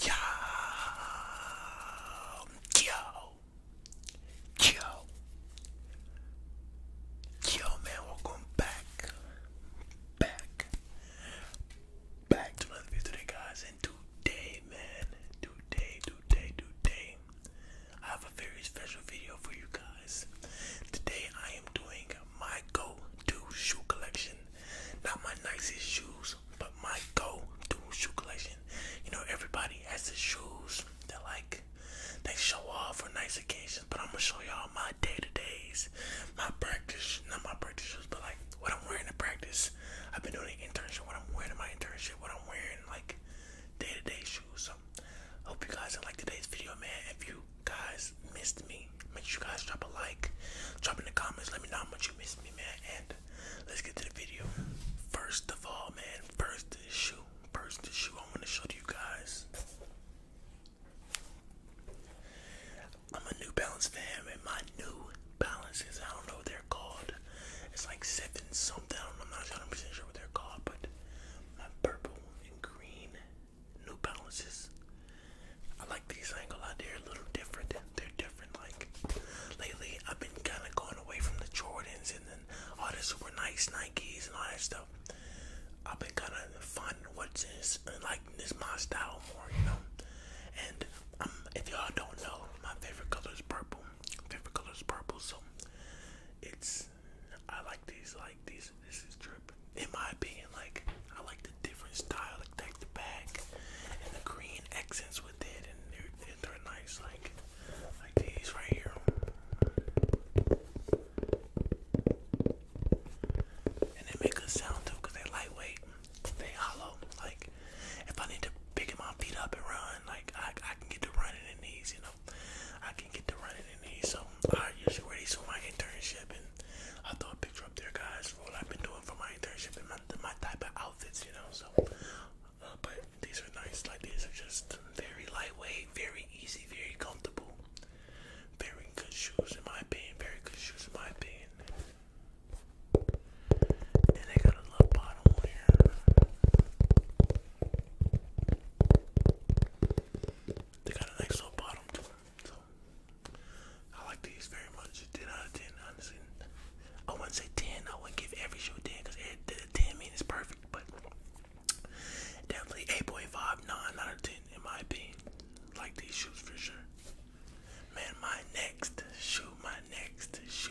Yo, yo, yo, yo, man, welcome back, back, back to another video today, guys. And today, man, today, today, today, I have a very special video for you guys. Today, I am doing my go-to shoe collection, not my nicest shoes but my go-to shoe collection. You know, everybody has the shoes that like they show off for nice occasions, but I'm gonna show y'all my day-to-days, my practice, not my practice shoes, but like what I'm wearing to practice. I've been doing an internship, what I'm wearing in my internship, what I'm wearing like day-to-day -day shoes. So hope you guys like today's video, man. If you guys missed me Make sure you guys drop a like, drop in the comments. Let me know how much you miss me, man. And let's get to the video. First of all, man, first is shoe. First is shoe. I want to show to you guys. I'm a New Balance fan, and my New Balances, I don't know what they're called. It's like seven something. I'm not 100 sure what they're called, but my purple and green New Balances. I like these. I ain't gonna lie, they're a little different. They're different. Like lately, I've been kind of going away from the Jordans and then all the super nice Nikes and all that stuff. I've been kind of finding what's in uh, like this my style more, you know. And um, if y'all don't know, my favorite color is purple. Favorite color is purple, so it's I like these. Like these. This is drip. In my opinion, like I like like the different style, like, like the back and the green accents with it, and they're, they're, nice, like like these right here. And they make a sound too, cause they're lightweight, they hollow. Like if I need to pick my feet up and run, like I, I can get to running in these, you know. I can get to running in these, so I usually wear these for my internship and I'll throw a picture up there, guys, For what I've been doing for my internship and my, type of outfits, you know. So, uh, but these are nice. Like these are just very lightweight, very easy, very comfortable, very good shoes in my opinion. Very good shoes in my opinion. And they got a little bottom here. They got a nice little bottom to them. I like these very much. 10 out of 10, I wouldn't say 10. I wouldn't give every show 10 because 10 mean it's perfect, but definitely 8.5, 9 out of 10 in my opinion. Like these shoes for sure. Man, my next shoe, my next shoe.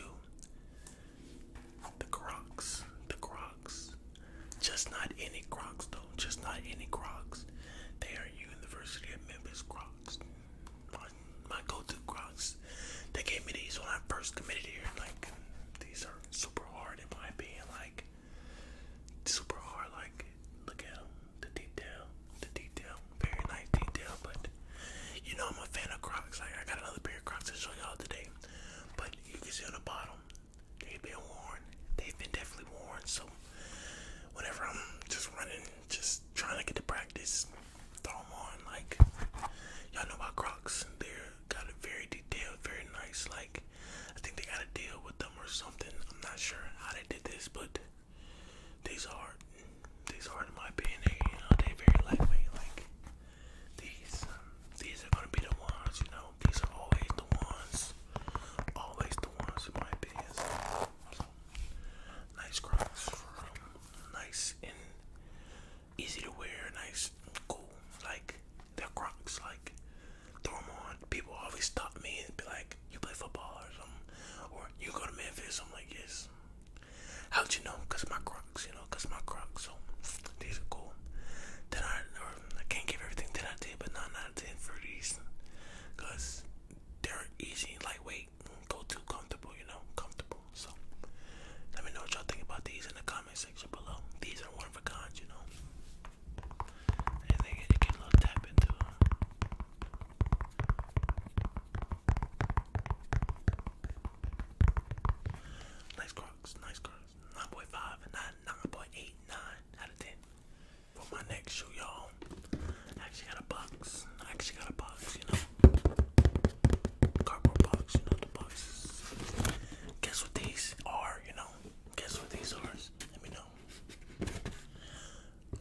The Crocs. The Crocs. Just not any Crocs though. Just not any Crocs. They are University of Memphis Crocs. My, go-to Crocs. They gave me these when I first committed here. Like these are super hard in my opinion. Like super hard. Like look at them. The detail. The detail. Very nice detail. But you know I'm a fan of Crocs. Like I got another pair of Crocs to show y'all today. But you can see on the bottom they've been worn. They've been definitely worn. So whenever I'm just running just trying to get to practice. Throw them on, like y'all know about Crocs. They're got a very detailed, very nice. Like I think they got a deal with them or something. I'm not sure how they did this, but these are these are my opinion. They, you very lightweight. Like these, um, these are gonna be the ones. You know, these are always the ones. Always the ones my opinion. Nice Crocs nice and easy to wear, nice cool. Like they Crocs, like throw on. People always stop me and be like, "You play football or something, or you go to Memphis." I'm like, "Yes." How'd you know? my Crocs, you know, my Crocs. So these are cool. Then I, or I can't give everything that I did, but not 9 for a they're easy, lightweight, go too comfortable, you know, comfortable. So let me know what y'all think about these in the comment section below. These are one of a kind, you know. And they Nice crocs, nice crocs. 9.5, 9, 9.8, 9 out of 10 for my next shoe, y'all. I actually got a box. I actually got a box, you know. Cardboard box, you know, the boxes. Guess what these are, you know? Guess what these are? Let me know.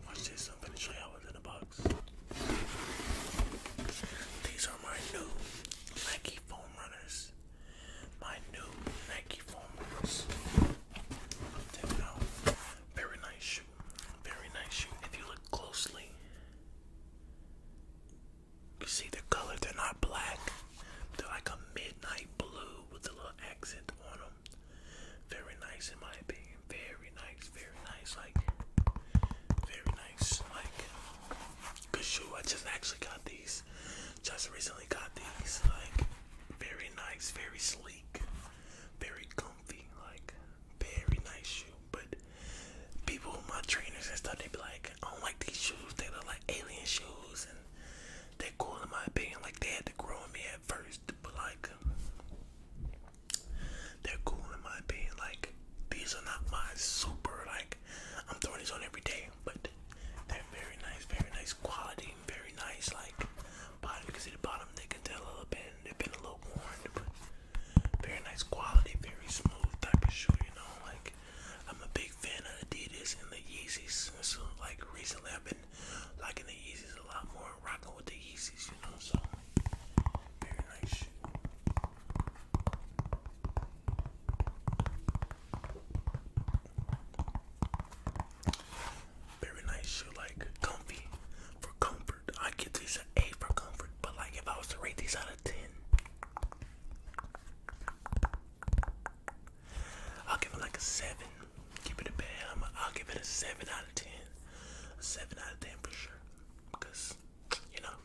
Watch this, I'm gonna show y'all what's in the box. These are my new Nike foam runners. My new Nike foam runners. Take it out. Very nice shoe. Very nice shoe. If you look closely, you see the color. They're not black. They're like a midnight blue with a little accent on them. Very nice in my opinion. Very nice. Very nice. Like very nice. Like good shoe. I just actually got these. Just recently got these. Like very nice, very sleek, very comfy, like very nice shoe. But people, with my trainers and stuff, they be like, I don't like these shoes. They look like alien shoes, and they're cool in my opinion. Like they had to grow on me at first, but like they're cool in my opinion. Like these are not my super. Like I'm throwing these on every day, but they're very nice, very nice quality very nice, like bottom. You the bottom, they can tell a little bit, they've been a little worn, very nice quality, very smooth type of shoe, you know. Like, I'm a big fan of Adidas and the Yeezys. So, uh, like, recently I've been liking the Yeezys a lot more, rocking with the Yeezys, you know. So, very nice very nice shoe, like comfy for comfort. I give these an A for comfort, but like if I was to rate these out of 10, I'll give it like a 7. Keep it a bad. i will give it a 7 out of 10. 7 out of 10 for sure. Because, you know,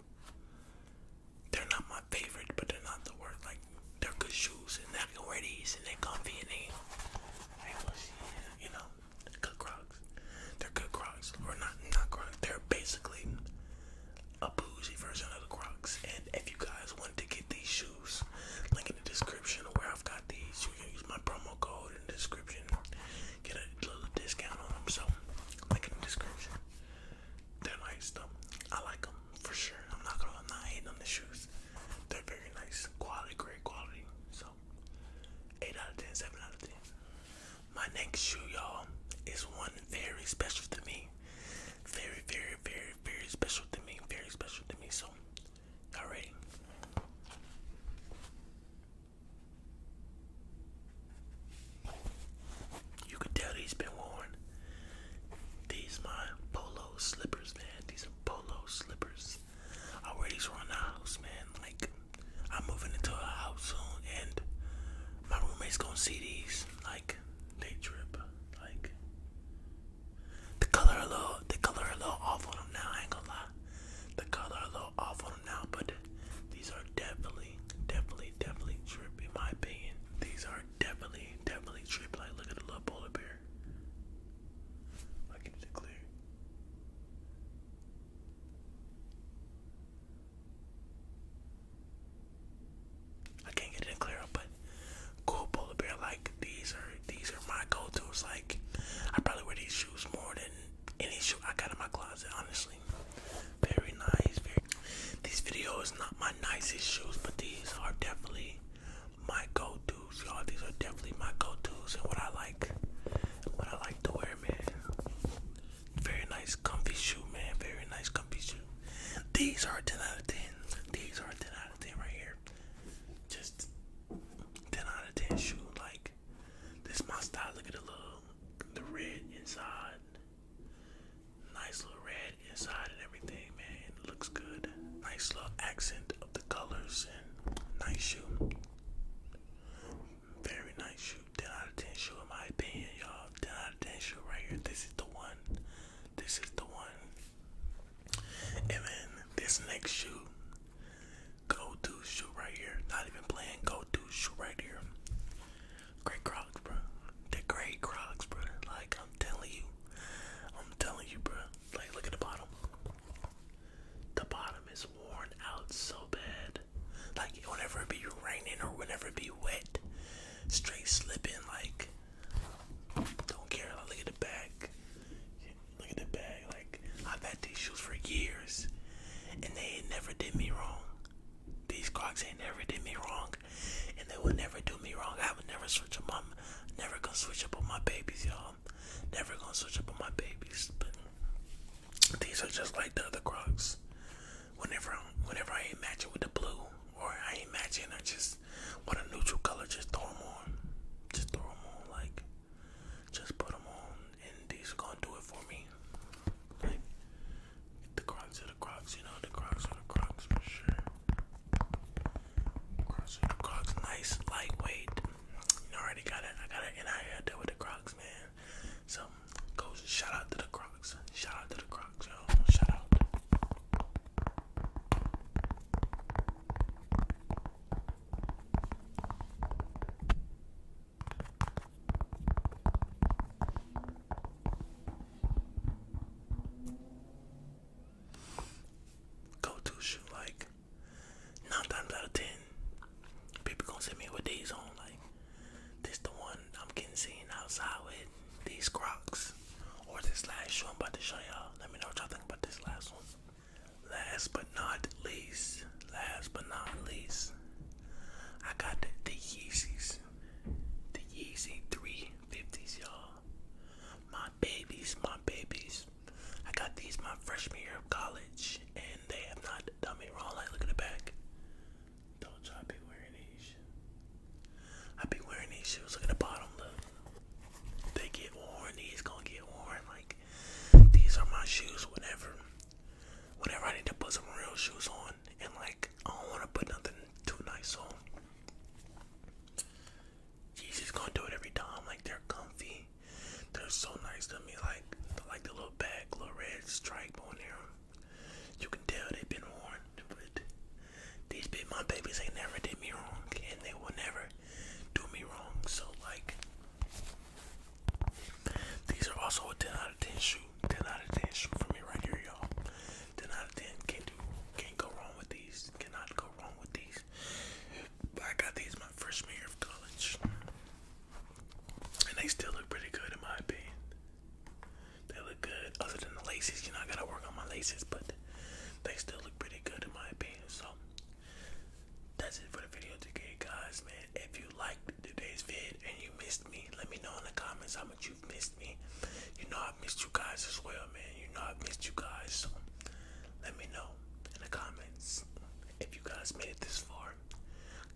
they're not my favorite, but they're not the worst. Like, they're good shoes and I can wear these, and they're comfy and they, they you know, good Crocs. They're good Crocs, or not, not Crocs. They're basically a bougie version of the Crocs. And if you guys want to get these shoes, link in the description where I've got these. You can use my promo code in the description, get a little discount on them. So, link in the description. They're nice though. I like them for sure. I'm not gonna I'm not hating on the shoes. They're very nice, quality, great quality. So, eight out of ten, seven out of ten. My next shoe, y'all, is one very special to me. Very, very, very, very special to me. Very special to me. So, y'all ready? You could tell these been worn. These my polo slippers, man. These polo slippers. I wear these around the house, man. Like, I'm moving into a house soon, and my roommate's gonna see these. Like, they drip. Like, the color a little, the color a little off now. I ain't gonna lie. The color a little awful now, but these are definitely, definitely, definitely drip in my opinion. These are definitely, definitely drip. Like, look at the little polar bear. Like it is clear. I can't get it clear but cool polar bear. Like these are these are my go-to's. Like I probably wear these shoes more than any shoe I got in my closet. Honestly, very nice. Very. This video is not my nicest shoes, but these are definitely my go-to's, y'all. These are definitely my go-to's and what I like, what I like to wear, man. Very nice, comfy shoe, man. Very nice, comfy shoe. These are 10 out of 10. These are 10 out of 10 right here. Just 10 out of 10 shoe. Like, this my style. Look at the little, the red inside. Nice little red inside and everything, man. looks good. Nice little accent of the colors and nice shoe. Very nice shoe. 10 out of 10 shoe in my opinion, y'all. 10 out of 10 shoe right here. This is the one. This is the one. And then this next shoe. Go to shoe right here. Not even playing go to shoe right here. Great Crocs, bro. The great Crocs, bro. Like I'm telling you, I'm telling you, bro. Like, look at the bottom. The bottom is worn out so bad. Like, whenever it be raining or whenever it be wet, straight slipping. Like, don't care. Like, look at the back. Look at the bag. Like, I've had these shoes for years, and they ain't never did me wrong. These Crocs ain't never did me wrong and they would never do me wrong. I would never switch up. i never gonna switch up on my babies, y'all. Never gonna switch up on my babies. But these are just like the other Crocs. Whenever i whenever I ain't matching with the blue or I ain't matching, I just want a neutral color. Just throw them on. Just throw them on. Like just put them on, and these are gonna do it for me. Like the Crocs are the Crocs, you know. The Crocs are the Crocs for sure. Crocs, nice, lightweight. already got it. I got it, and I had deal with the Crocs, man. So, shout out to the Crocs. Shout out to the Crocs, yo. Shout out go-to shoe. Like nine times out of ten, people gonna send me with these on. Like this, the one I'm getting seen outside with these Crocs or this last shoe I'm about to show y'all. Let me know what y'all think about this last one. Last but not least, last but not least, I got the, the Yeezys, the Yeezy 350s, y'all my babies, my babies. I got these my freshman year of college, and they have not done me wrong. I look at the back. Don't try be wearing these shoes. I be wearing these shoes. Look at the bottom, look. They get worn. These going get worn. Like, these are my shoes Whatever. Whenever I need to put some real shoes on and like I don't want to put nothing too nice on. Jesus gonna do it every time. Like they're comfy. They're so nice to me. Like like the little bag, little red stripe on there. You can tell they've been worn, but these big my babies ain't never did me wrong, and they will never do me wrong. So like, these are also a ten out of ten shoe. Ten out of ten shoe for me right here, y'all. Ten out of ten. Can't do. Can't go wrong with these. Cannot go wrong with these. I got these my freshman year of college, and they still look pretty good in my opinion. They look good. Other than the laces, you know, I gotta work on my laces, but they still look pretty good in my opinion. So that's it for the video today, guys. Man, if you liked today's vid and you missed me, let me know in the comments how much you missed me. You know i missed you guys as well, man. You know i missed you guys. So let me know in the comments if you guys made it this far.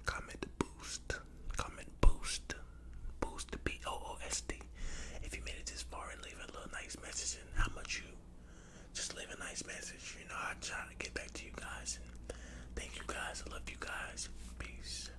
Comment boost. Comment boost. Boost B O O S D. If you made it this far and leave a little nice message and how much you just leave a nice message. You know I try to get back to you guys and thank you guys. I love you guys. Peace.